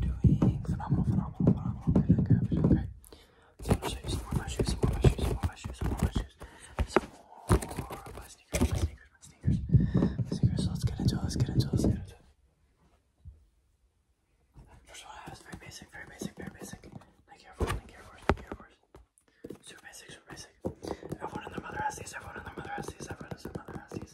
you're doing phenomenal, phenomenal, phenomenal. Okay, okay, okay. okay. Some more shoes, some more my shoes, some more my shoes, some more my shoes, some more my shoes, some more my sneakers, my sneakers, my sneakers, my sneakers. So let's get into it, let's get into it, let's get into it. First one I have is very basic, very basic, very basic. Nike Air Force, Nike Air Force, Nike Air Force. Super basic, super basic. Everyone and their mother has these, everyone and their mother has these, everyone and their mother has these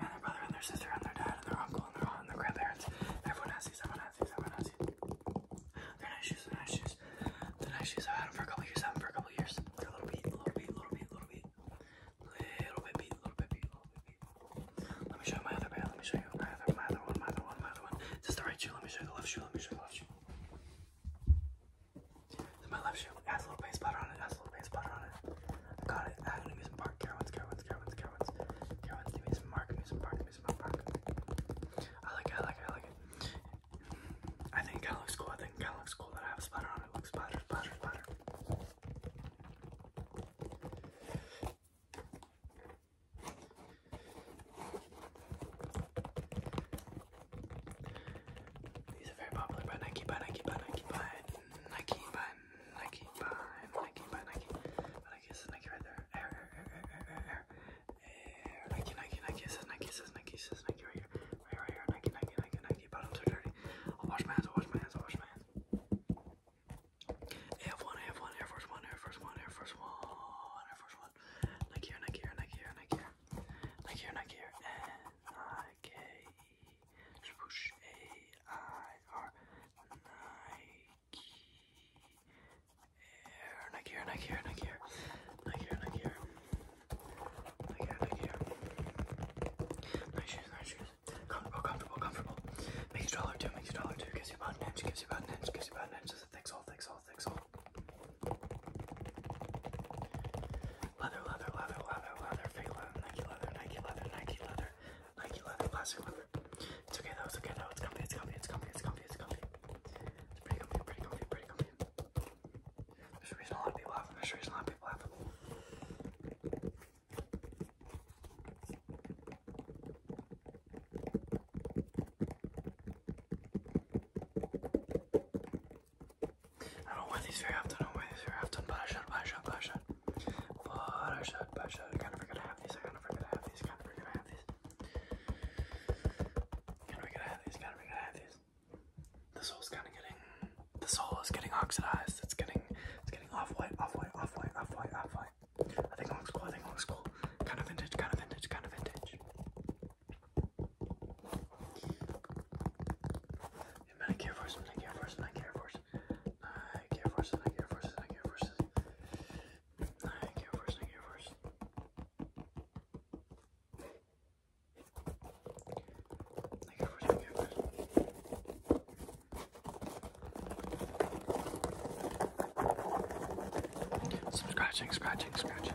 and their brother and their sister and their dad and their uncle and their aunt and their grandparents. Everyone has these, everyone has these, everyone has these. They're nice shoes, they're nice shoes. They're nice shoes. I've had them for a couple years, I've had them for a couple years. They're a little beat, a little beat, a little beat, a little beat. Little bit beat, little bit beat, little bit beat. Let me show you my other pair, let me show you my other, my other one, my other one, my other one. Is this the right shoe? Let me show you the left shoe, let me show you the left shoe. This is my left shoe has a little base powder on it. has a little base powder on it. I got it. I'm gonna use some bark. Carowinds, Carowinds, Carowinds, Carowinds. Carowinds, give some bark, give some bark, give some bark. I like it, I like it, I like it. I think it kinda looks cool. I think it looks cool that I have a splatter on it. Looks splatter, splatter, splatter. These are very popular Nike, by Nike, by Nike, by Nike, by Nike by Nike by Nike. But I guess Nike right there. Air, air, air, air, air, air, air. air. Nike, Nike, Nike. It says Nike, it says Nike, it says Nike right here. Right here, right here. Nike, Nike, Nike, Nike. Bottoms are dirty. I'll wash my hands, I'll wash my hands, I'll wash my hands. AF1, AF1, Air Force One, Air Force One, Air Force One, Air Force One. Nike here, Nike here, Nike here, Nike here. Nike here, Nike here. And I K E swoosh A I R Nike Air Nike Air Nike Air Nike Nike Nike Nike Nike Comfortable, comfortable, comfortable. Makes a dollar two, makes a dollar two, gives you about an inch, gives you about an inch, gives you about an inch, just a thick sole, thick sole, thick sole leather, leather, leather, leather, leather, fake leather, Nike leather, Nike leather, Nike leather, Nike leather, plastic leather. It's okay though, it's okay though, it's comfy, it's comfy, it's comfy, it's comfy, it's comfy. It's pretty comfy, pretty comfy, pretty comfy. There's a reason a lot of people have them, there's a reason a lot of people have them. I don't wear these very often, I don't wear these very often, but I should, but I should, but I should. But I should, but I should. I kinda forget I have these, I kinda forget I have these, I kinda forget I have these. Kinda forget I have these, kinda forget I have these. The soul's kinda getting, the soul is getting oxidized, it's getting, it's getting off-white, off-white, off-white, off-white, off-white. I think it looks cool, I think it looks cool. Kind of vintage, kind of vintage, kind of vintage. Nike Air Force, Nike Air Force, Nike Air Force, Nike Air Force, Nike Air Force, Nike Air Force, Nike Air Force, Nike Air Force. Nike Air Force, Nike Air Force. Some scratching, scratching, scratching.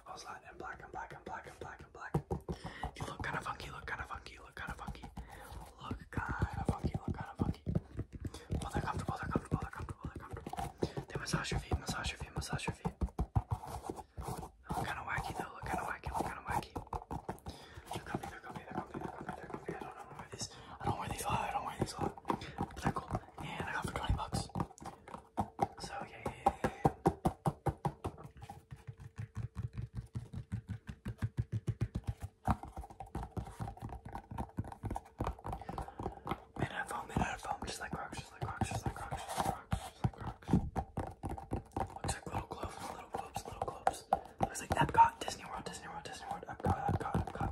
off goes black and black and black and black and black. You look kind of funky, look kind of funky, look kind of funky. Look kind of funky, look kind of funky. Well, they're comfortable, they're comfortable, they're comfortable, they're comfortable. They massage your feet, massage your feet, massage your feet. Look kind of wacky though, look kind of wacky, look kind of wacky. They're comfy, they're comfy, they're comfy, they're comfy, I don't wear these a lot, I don't wear these a lot. But they're cool. And I got for 20 bucks. So, yeah. Made out of foam, made out of foam, just like rocks, just like rocks, just like rocks, just like rocks, just like rocks. Looks like little globes, little globes, little globes. Looks like Epcot, Disney World, Disney World, Disney World, Epcot, Epcot, Epcot.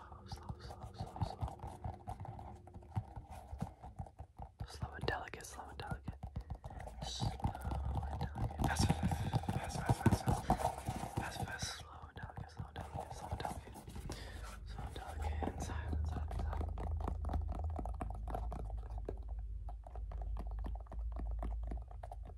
slow, slow, slow, slow, slow. Slow and delicate, slow and delicate. Slow and delicate. Fast, fast, fast, fast, fast, fast, fast, slow and delicate, slow and delicate, slow and delicate. Slow and delicate, and silent, silent,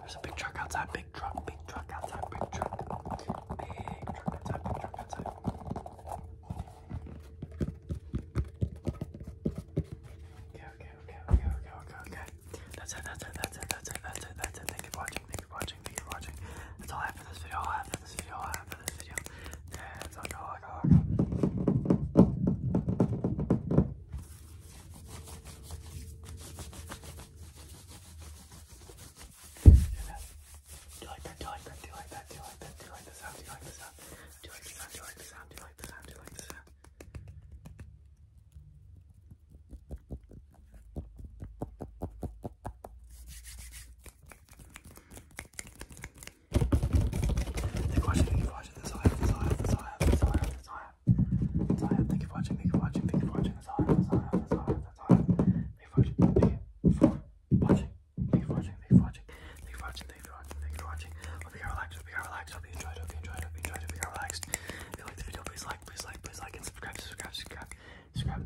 There's a big truck outside, big truck, big truck outside, big truck. Big truck outside, big truck outside. Okay, okay, okay, okay, okay, okay, okay. That's it, that's it, that's it, that's it, that's it, that's it. Thank you for watching, thank you for watching, thank you for watching. That's all I have for this video, all I have for this video, all I have for this video. That's a dog hog. Do you like that? Do you like that? Do you like that? Do you like that? Do you like the sound? Do you like the sound? Do you like the sound? Do you like the sound? Do you like the sound? Do you like the sound? Thank you for watching, thank you for watching, that's all that's all that's all that's all that's all thank you for watching, thank you for watching, thank you for watching, that's all that's all that's all that's all Thank you for watching, thank you for watching, thank you for watching, thank you for watching, thank you for watching, thank you for watching, thank you for watching. Hope you got relaxed, hope you got enjoyed, hope you enjoyed, enjoyed, hope you got relaxed. If you like the video, please like, please like, please like, and subscribe, subscribe, subscribe, subscribe.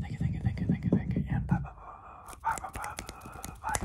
Thank you, thank you, thank you, thank you, thank you, and bye bye bye bye bye bye bye bye.